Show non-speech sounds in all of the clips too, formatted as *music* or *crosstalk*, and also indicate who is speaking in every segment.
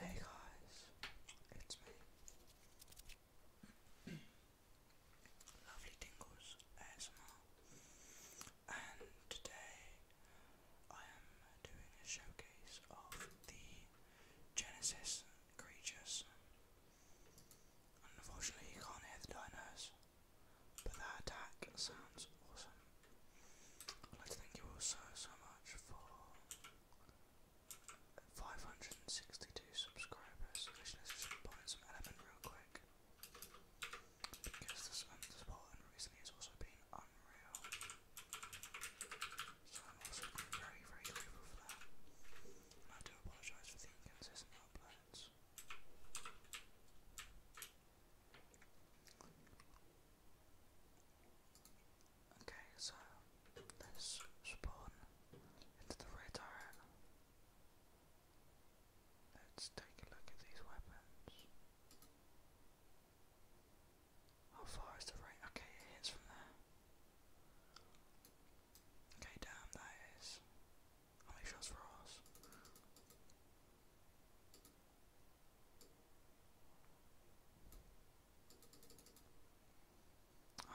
Speaker 1: Hey guys, it's me. Lovely Tingles ASMR. And today I am doing a showcase of the Genesis creatures. Unfortunately you can't hear the dinos, but that attack sounds awesome. I'd like to thank you all so, much for 562 subscribers. just put in some element real quick. Because this, um, this button recently has also been unreal. So I'm also very, very grateful for that. And I do apologise for the inconsistent uploads. Okay, so let's spawn into the red Let's take a look at these weapons. How far is the right? Okay, it hits from there. Okay, damn, that is. How many shots for us?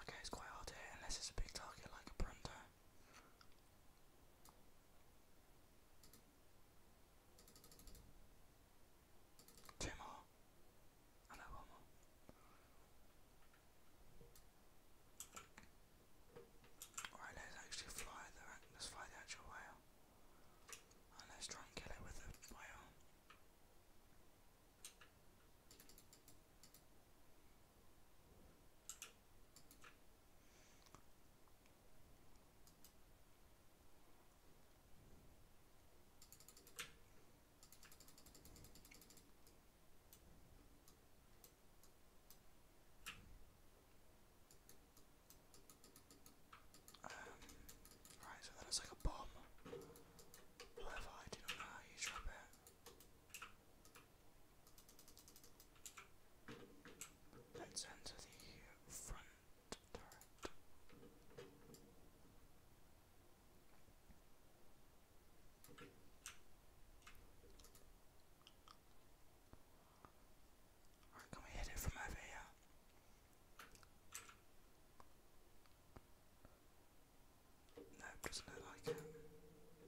Speaker 1: Okay, it's quite hard to hit unless it's a big target like a Brunto. Two more. I one more. Alright, let's actually fly let's fly the actual whale. And let's try and kill it with a firearm. Um, right, so that is like a bomb. However, I do not know how you drop it. Let's enter the front turret. can we hit it from over here? Nope, doesn't look like it.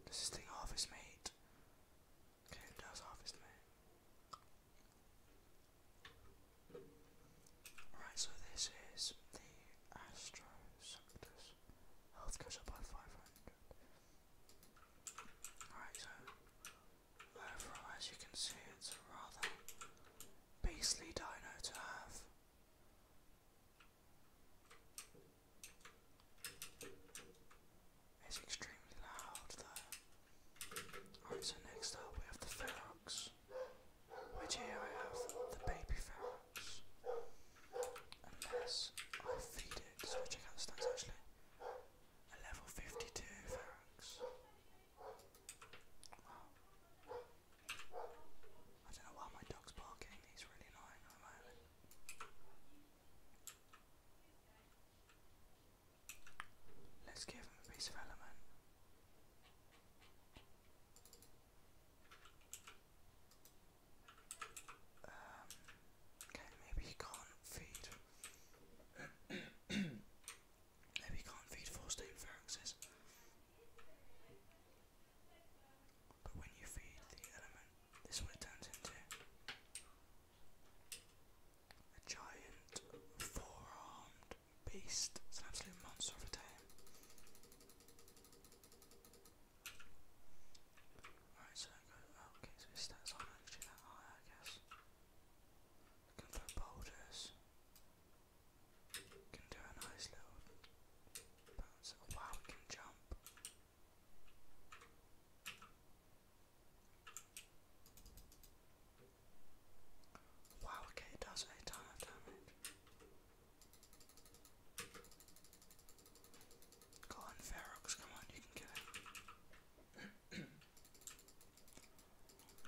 Speaker 1: Does this thing harvest meat? Okay, it does harvest meat. Right, so this is the Astro Health goes up by 500. Alright, so Overall, as you can see, it's a rather beastly dino to have. It's extremely loud though. Alright, so next up we have the Ferox, which here I have the baby Ferox. Unless I feed it, so check out the stats actually. A level 52 Ferox. I don't know why my dog's barking, he's really annoying at the moment. Let's give him a piece of element. Um, okay, maybe he can't feed. Maybe can't feed four stone phalanxes. But when you feed the element, this what it turns into. A giant four-armed beast. It's an absolute monster of a tame. Alright, so that goes, okay, so his stats aren't that high I guess. Looking for boulders. Can do a nice little wow, we can jump. Wow, okay, it does a ton of damage. Go on, Ferox, come on, you can kill *clears throat* him.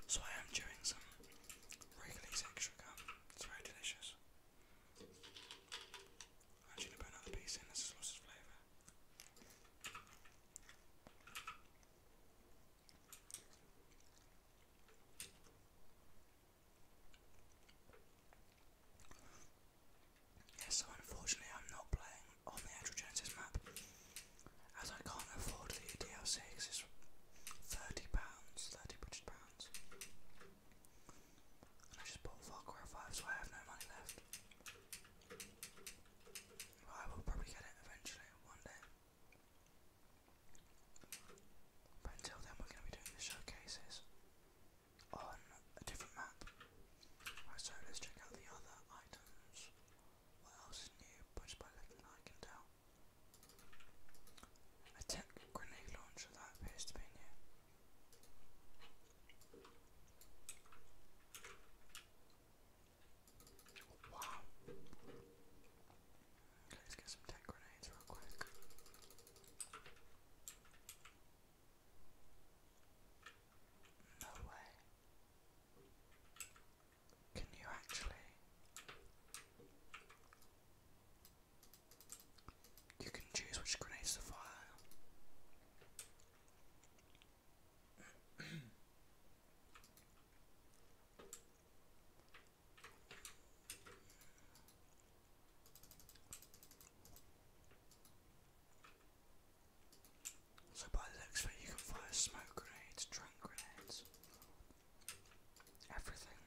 Speaker 1: So I am doing some Wrigley's extra gum. It's very delicious. I'm actually gonna put another piece in, this is lots of flavour. so unfortunately I'm not playing on the actual map, as I can't afford the DLC it's thirty pounds, thirty British pounds, I just bought Far Cry Five, so I have no money left. I will probably get it eventually, one day. But until then, we're going to be doing the showcases on a different map. so let's check out the other items. What else is new? Just by looking, I can tell. A grenade launcher that appears to Wow. let's get some tech grenades real quick. No way. Can you actually? You can choose which grenades to fire. So by the looks of it, you can fire smoke grenades, drink grenades, everything.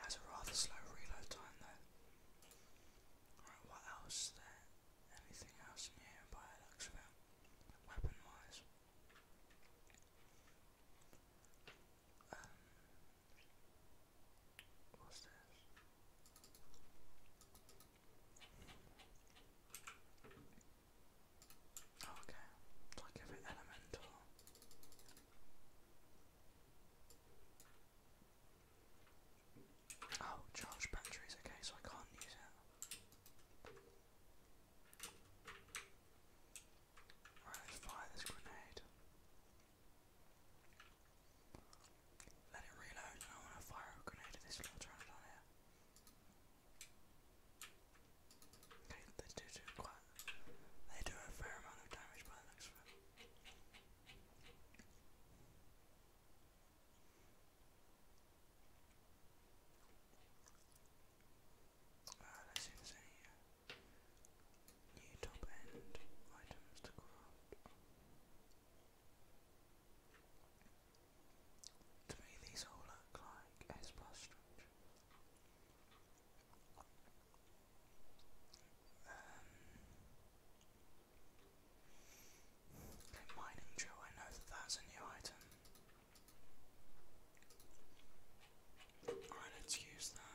Speaker 1: It has a rather slow reload time though. Right, what else there? Anything else in by the looks of it? Weapon wise. Um, What's this? Oh, okay, it's elemental. Oh, charged batteries, okay, so I can't use it. Alright, fire this grenade. Let it reload, I want to fire a grenade at this little turret here. Okay, they do do quite. They do a fair amount of damage by the looks of it. Uh, let's see New top end items to craft. To me, these all look like S plus structure. Um, mining drill. I know that that's a new item. Alright, let's use that.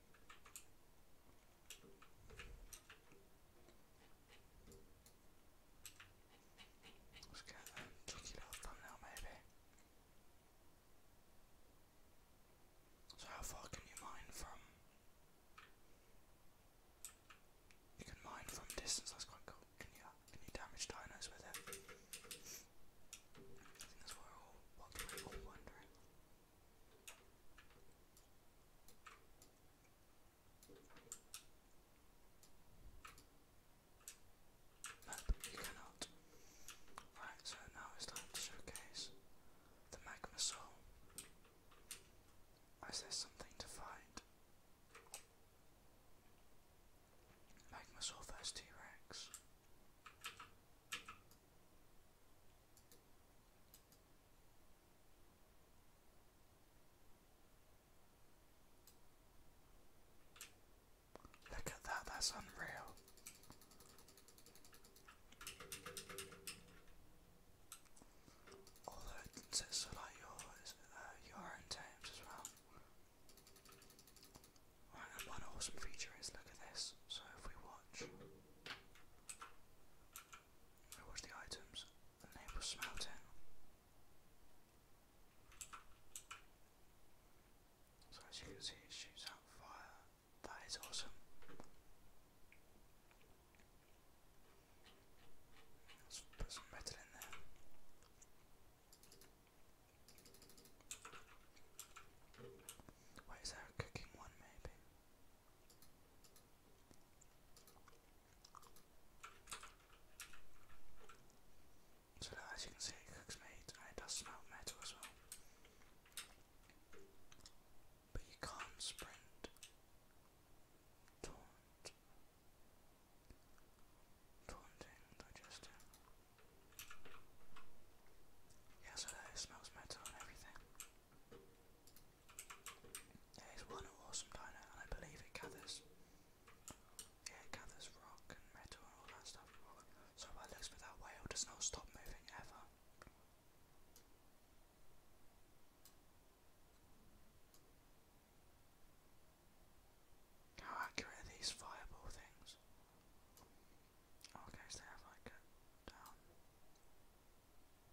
Speaker 1: Let's get a tricky little thumbnail maybe. So how far can you mine from? You can mine from distance, that's quite cool. Can you, can you damage dinos with it? I think what we're wondering. No, you cannot. Right, so now it's time to showcase the magma Is there something to find? Magma soul T Rex. Look at that, that's unreal. Although it's so like your, uh, your own teams as well and one awesome feature is look at this. So if we watch, we watch the items, and they will smelt So as can see, it shoots out fire. That is awesome. Let's put why is that cooking one maybe? So as you can see, it cooks meat and it does metal as well. But you can't sprint. Taunt. Taunting, digesting. Yeah, so it smells metal and everything. It is one awesome dino, and I believe it gathers. Yeah, it gathers rock and metal and all that stuff. So by looks for that whale does not stop moving ever. How accurate these fireball things? Okay, so they have like a down. Um,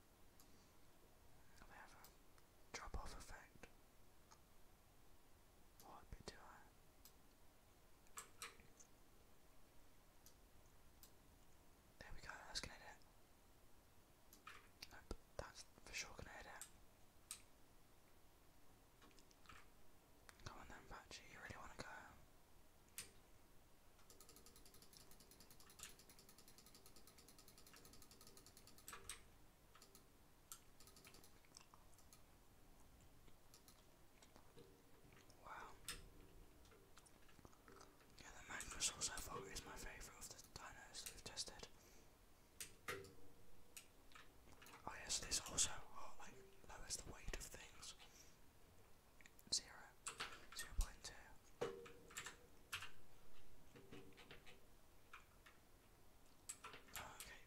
Speaker 1: they have a drop off effect. What bit do I? There we go, that's gonna hit it. Nope, that's for sure gonna hit it. Come on then, Patchy, you really want to go? Wow. Yeah, the mango sauce is my favourite of the dinos we've tested. Oh yes, this also oh, like lowers the weight of things. 0, 0.2. okay,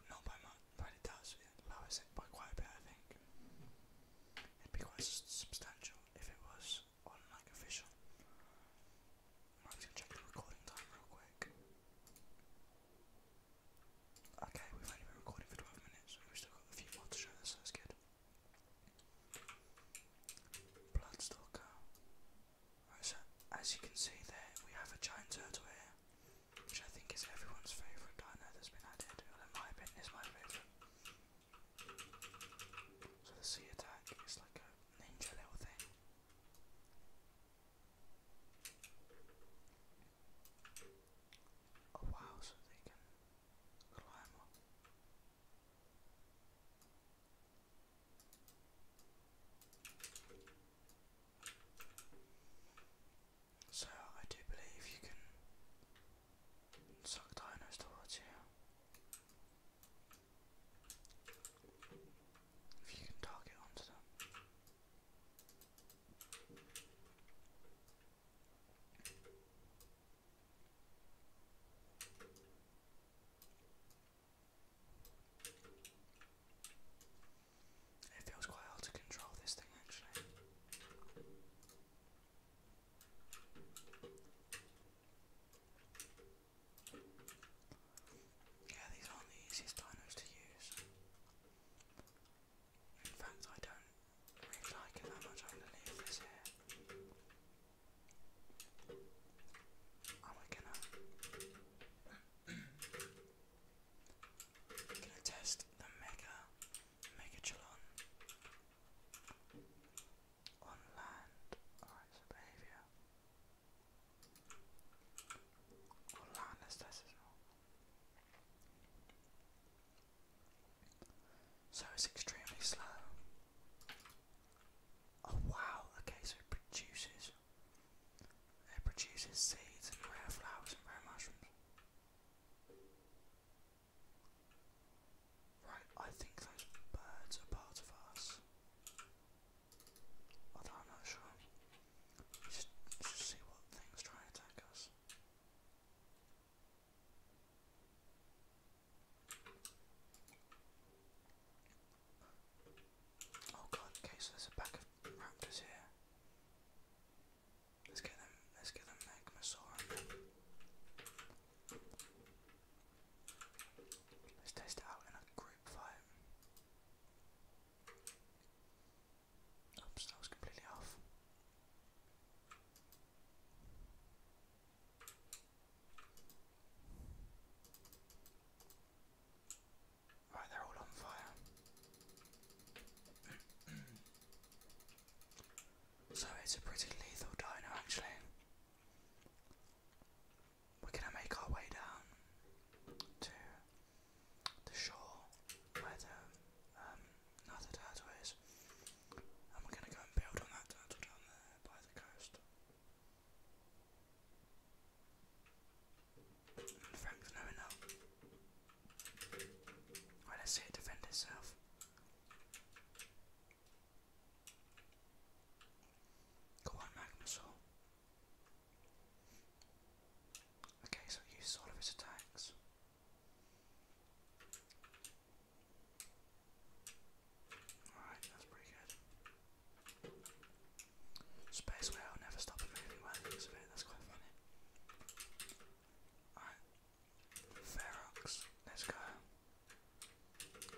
Speaker 1: not by much, but it does. It it by quite a bit, I think. It'd be quite substantial if it was on like official. I'm just gonna check the recording time real quick. Okay, we've only been recording for 12 minutes and we've still got a few more to show this, so that's good. Bloodstalker. as you can see there, we have a giant turtle here, which I think is everyone's favourite dino that's been added. my opinion, is my favourite. So the sea attack is like a ninja little thing. Oh, so So I do believe you can suck dinos towards you. If you can target onto them. It feels quite hard to control this thing actually. Yeah, these aren't the easiest dinos to use. In fact, I don't really like it that much. I'm going to leave this here. And we going to... going to test the Mega... Megachelon on land or its behaviour. Or landless, this is not. So it's extremely slow. Oh wow, okay, so it produces it produces seeds and rare flowers and rare mushrooms. Right, I think those birds are part of us. Although I'm not sure. just, just see what things try and attack us. Oh god, okay, so there's a pack of raptors here. Let's get them, let's get them Let's test out in a group fight that was completely off. Right, they're all on fire. *clears throat* so it's a pretty lethal dino, actually. We're gonna make our way down to the shore where the um, another turtle is, and we're going to go and build on that turtle down there by the coast. Frank's knowing up. Right, let's see it defend itself. Go on, Magnusaur. Okay, so he all of his attacks. Alright, that's pretty good. Space whale never stops moving when I think it, that's quite funny. Alright. Ferox, let's go.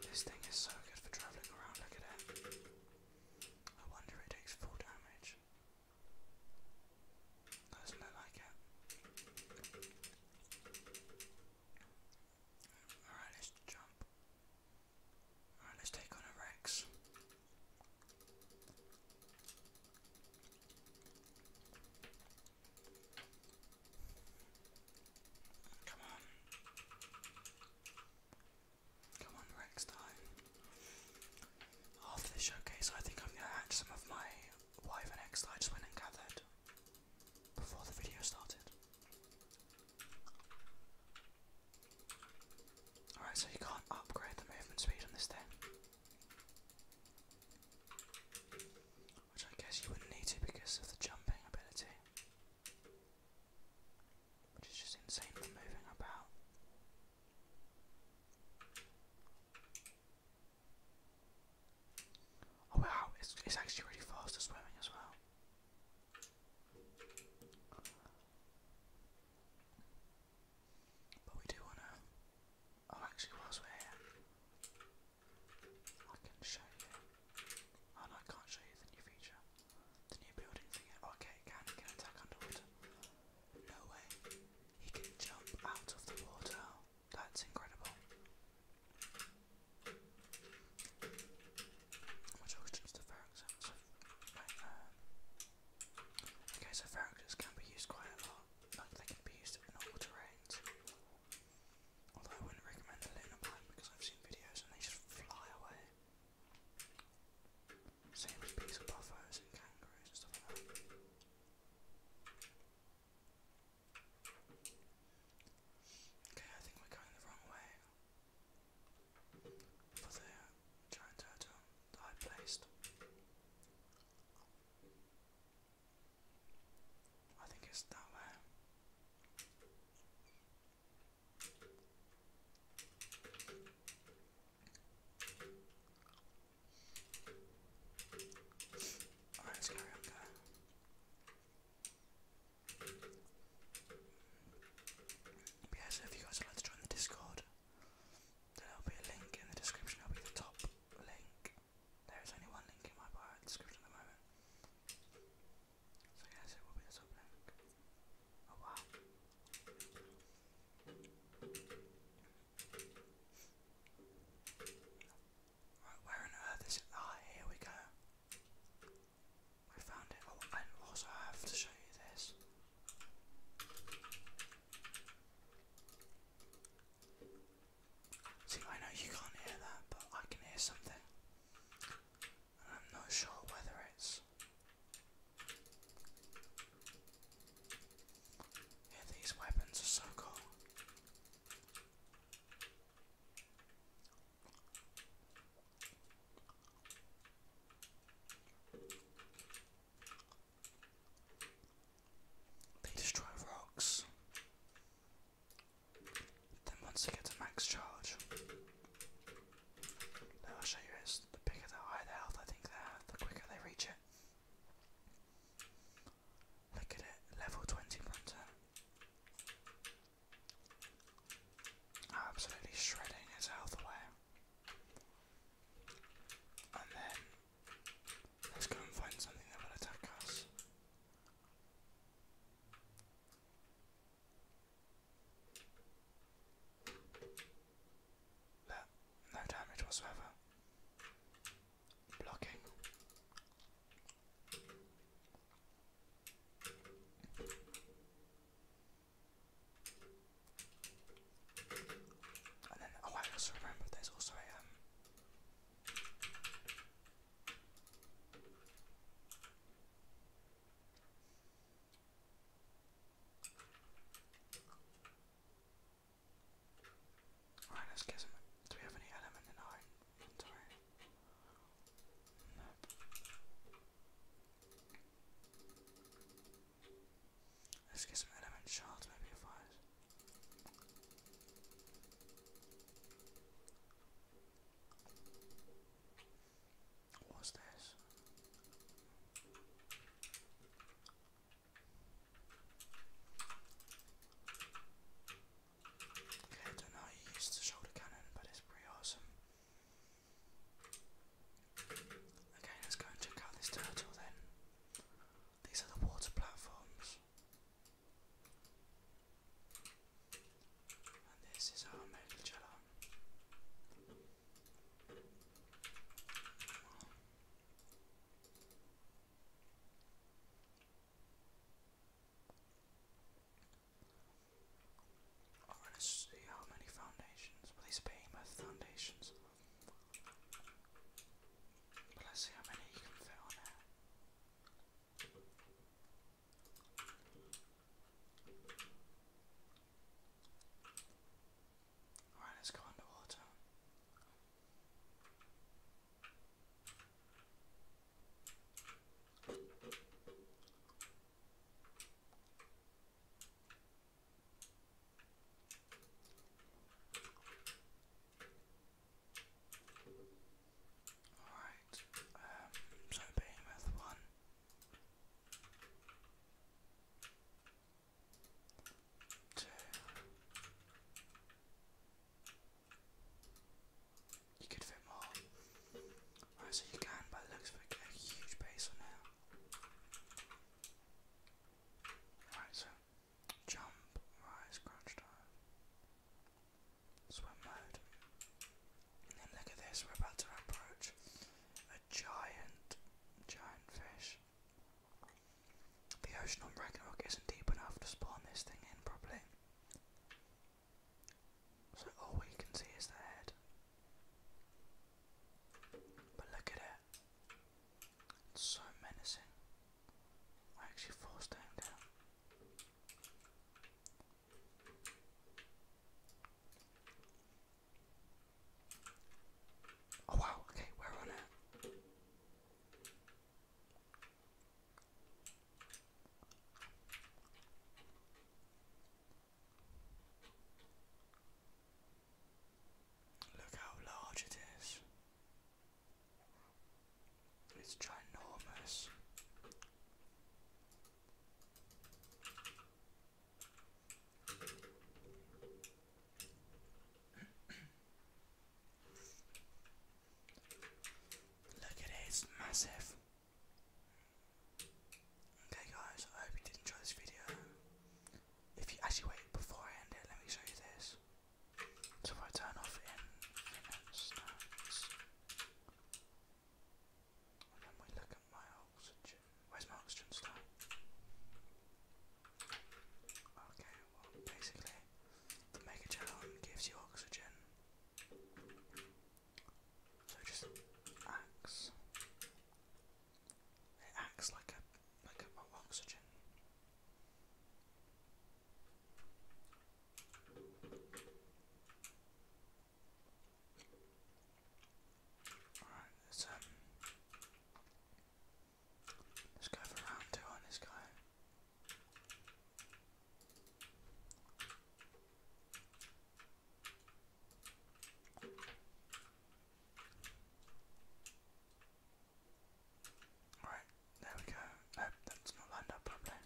Speaker 1: This thing is so good for travelling around, look at it. I wonder if it takes full damage. Doesn't like it? Alright, let's jump. Alright, let's take on Rex. Come on. Come on, Rex time. After the showcase, I think I'm going to hatch some of my wyvern eggs that I just went and gathered before the video started. Alright, so you can't upgrade the movement speed on this thing. Which I guess you wouldn't need to because of the jumping ability. Which is just insane for moving about. Oh wow, it's, it's actually really fast at swimming as well. But we do wanna. Oh, actually, whilst we're here, I can show you. Oh I can't show you the new feature. The new building thing. Oh, okay, it can, it can attack underwater. No way. He can jump out of the water. That's incredible. Which auctions the Ferroxes? So, right, um, okay, so Ferroxes can be used quite a lot. Like, they can be used in all terrains. Although I wouldn't recommend the lunar pipe because I've seen videos and they just fly away. Same with bees and buffos and kangaroos and stuff like that. Okay, I think we're going the wrong way. For the giant turtle I placed. I think it's that way. Alright, let's go around Yeah, so if you guys would like to join the Discord, there'll be a link in the description, it'll be the top link. There is only one link in my bio description at the moment. So yes, it will be the top link. Oh wow. Right, where on earth is it? Ah, here we go. I found it. Oh, and also have to show you this. See, I know you can't hear that, but I can hear something. And I'm not sure whether it's yeah, these weapons are so cool. They destroy rocks. Then once they get to max charge, I'll show you is the bigger the higher the health I think they have, the quicker they reach it. Look at it, level 20 Brunton. Absolutely shredding his health away. And then, let's go and find something that will attack us. That, no damage whatsoever. Blocking. And then, oh, I also remember there's also a, um, Alright, let's get some. Do we have any element in our inventory? Nope. Let's get some element shards, maybe if What's this? Okay, I don't know how you use shoulder cannon, but it's pretty awesome. Okay, let's go and check out this turtle then. These are the water platforms. And this is our Mega Jello. I'm gonna see how many foundations. Well, these are foundations. But let's see how many you can fit on there. Alright, let's go underwater. Alright, um, so being one. You could fit more. Right, so you can, but looks like a huge base now. Right, so jump, right, scratch time. Swim mode. And then look at this, we're about to approach giant, giant fish. The ocean on Ragnarok isn't deep enough to spawn this thing in properly. So all we can see is the head. But look at it. It's so menacing. I actually forced down down. Oh wow, okay, we on it. Look how large it is. It's ginormous. Look at it, massive. Okay guys, I hope you did enjoy this video. If you actually wait before I end it, let me show you this. So if I turn off in minutes, and we look at my oxygen, where's my oxygen star? Okay, well, basically, the Mega Challenge gives you oxygen. So it just acts. It acts like a like a well, oxygen. Alright, let's um let's go for round two on this guy. Alright, there we go. Nope, that's not lined up properly.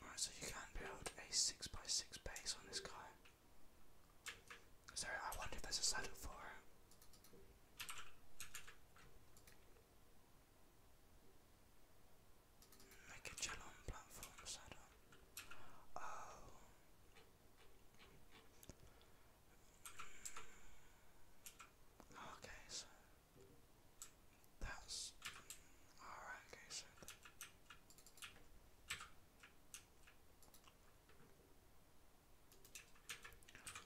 Speaker 1: Alright, so you can build a 6x6 6 base on this guy. So I wonder if there's a saddle for Make a channel on platforms, I oh. mm. Okay, so that's alright, okay, so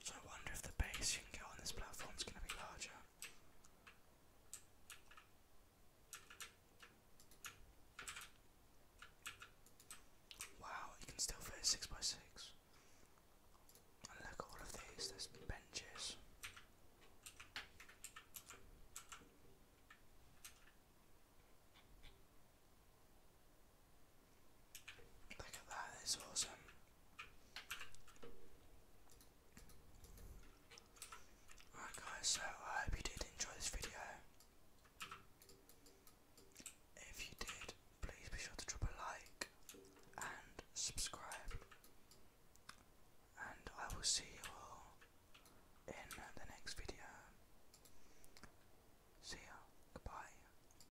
Speaker 1: so I wonder if the base you can get on this platform is going to be larger. Wow, you can still fit a 6x6. look at all of these, there's benches. Look at that, it's awesome. Alright guys, so I hope you did enjoy this video. If you did, please be sure to drop a like and subscribe. And I will see you all in the next video. See ya. Goodbye.